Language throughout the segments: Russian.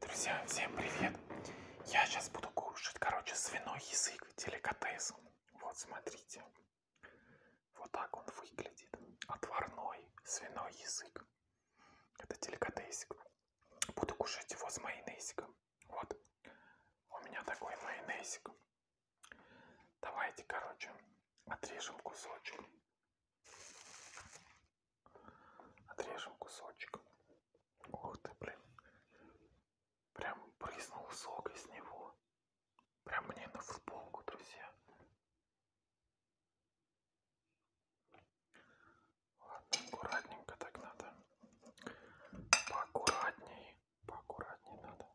Друзья, всем привет! Я сейчас буду кушать, короче, свиной язык, деликатес. Вот, смотрите. Вот так он выглядит. Отварной свиной язык. Это деликатесик. Буду кушать его с майонезиком. Вот. У меня такой майонезик. Давайте, короче, отрежем кусочек. Отрежем кусочек. Ух ты, блин. Прям брызнул сок из него. Прям мне на футболку, друзья. Ладно, аккуратненько так надо. Поаккуратней. Поаккуратней надо.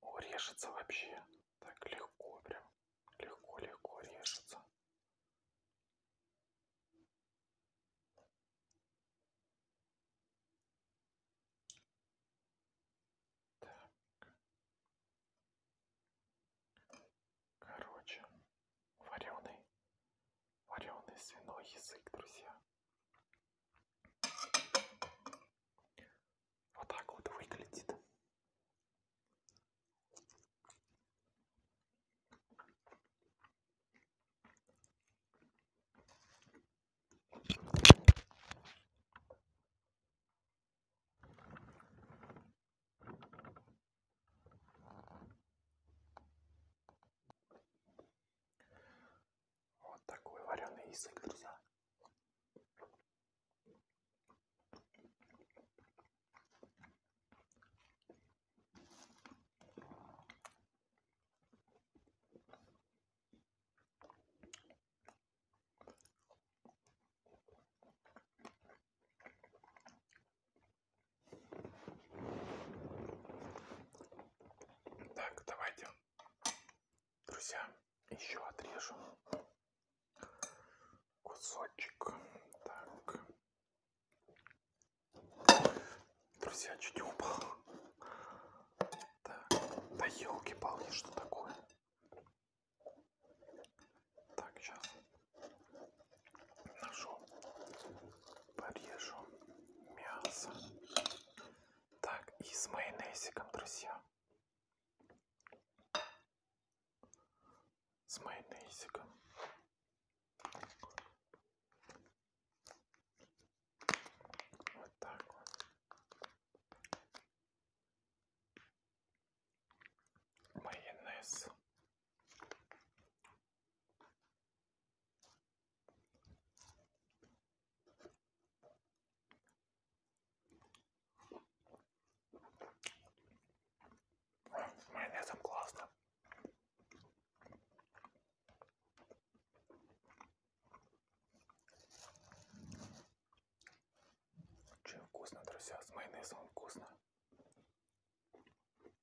О, режется вообще. Так легко прям. Легко-легко режется. Так. Короче, вареный, вареный свиной язык, друзья. Вот так вот выглядит. Вот такой вареный язык, друзья. Так, давайте Друзья, еще отрежу кусочек. Так. Друзья, чуть не упал. Так. Да елки-палки, что такое? Так, сейчас ножом порежу мясо. Так, и с майонезиком, друзья. С майонезиком. Вот так вот. Майонез. С майонезом классно. Очень вкусно, друзья, с майонезом вкусно.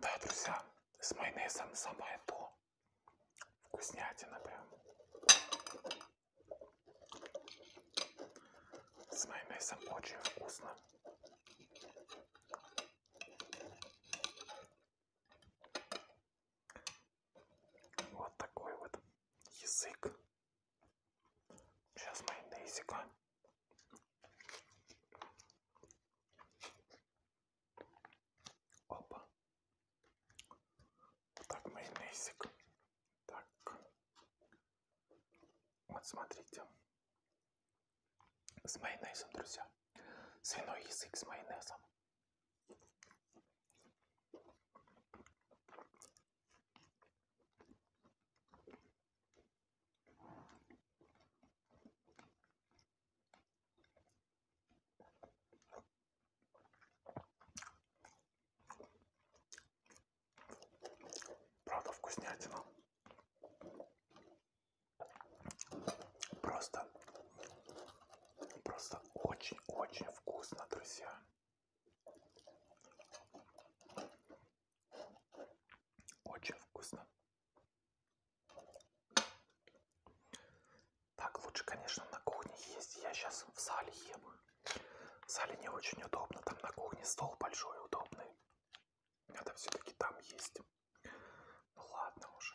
Да, друзья, с майонезом самое то. Вкуснятина прям. С майонезом очень вкусно. Вот такой вот язык. Сейчас майонезика. Опа. Так, майонезик. Так. Вот смотрите. С майонезом, друзья. Свиной язык с майонезом. Правда вкуснятина. Просто Просто очень-очень вкусно, друзья. Очень вкусно. Так, лучше, конечно, на кухне есть. Я сейчас в зале ем. В зале не очень удобно. Там на кухне стол большой, удобный. Надо все-таки там есть. Ну ладно уже.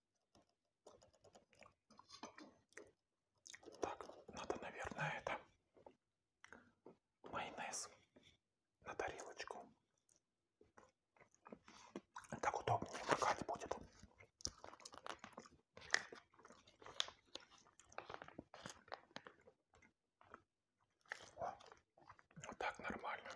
Так, надо, наверное, это майонез на тарелочку. Так удобнее макать будет. О, вот так нормально.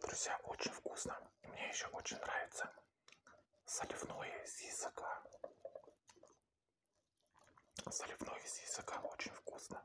Друзья, очень вкусно. Мне еще очень нравится заливное из языка. Заливное из языка очень вкусно.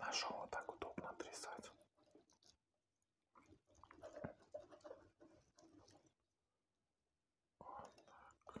Нашел вот так удобно отрезать. Вот так.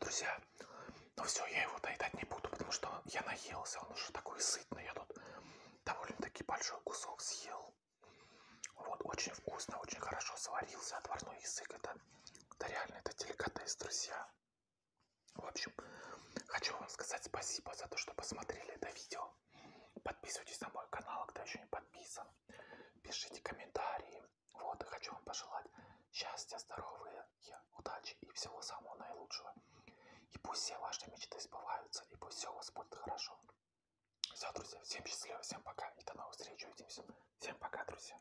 Друзья, ну все, я его доедать не буду, потому что я наелся, он уже такой сытный, я тут довольно-таки большой кусок съел. Вот, очень вкусно, очень хорошо сварился отварной язык, это, это реально, это деликатес, друзья. В общем, хочу вам сказать спасибо за то, что посмотрели это видео. Подписывайтесь на мой канал, кто еще не подписан. Пишите комментарии. Вот, и хочу вам пожелать счастья, здоровья, удачи и всего самого наилучшего. И пусть все ваши мечты сбываются, и пусть все у вас будет хорошо. Все, друзья, всем счастливо, всем пока, и до новых встреч, увидимся. Всем пока, друзья.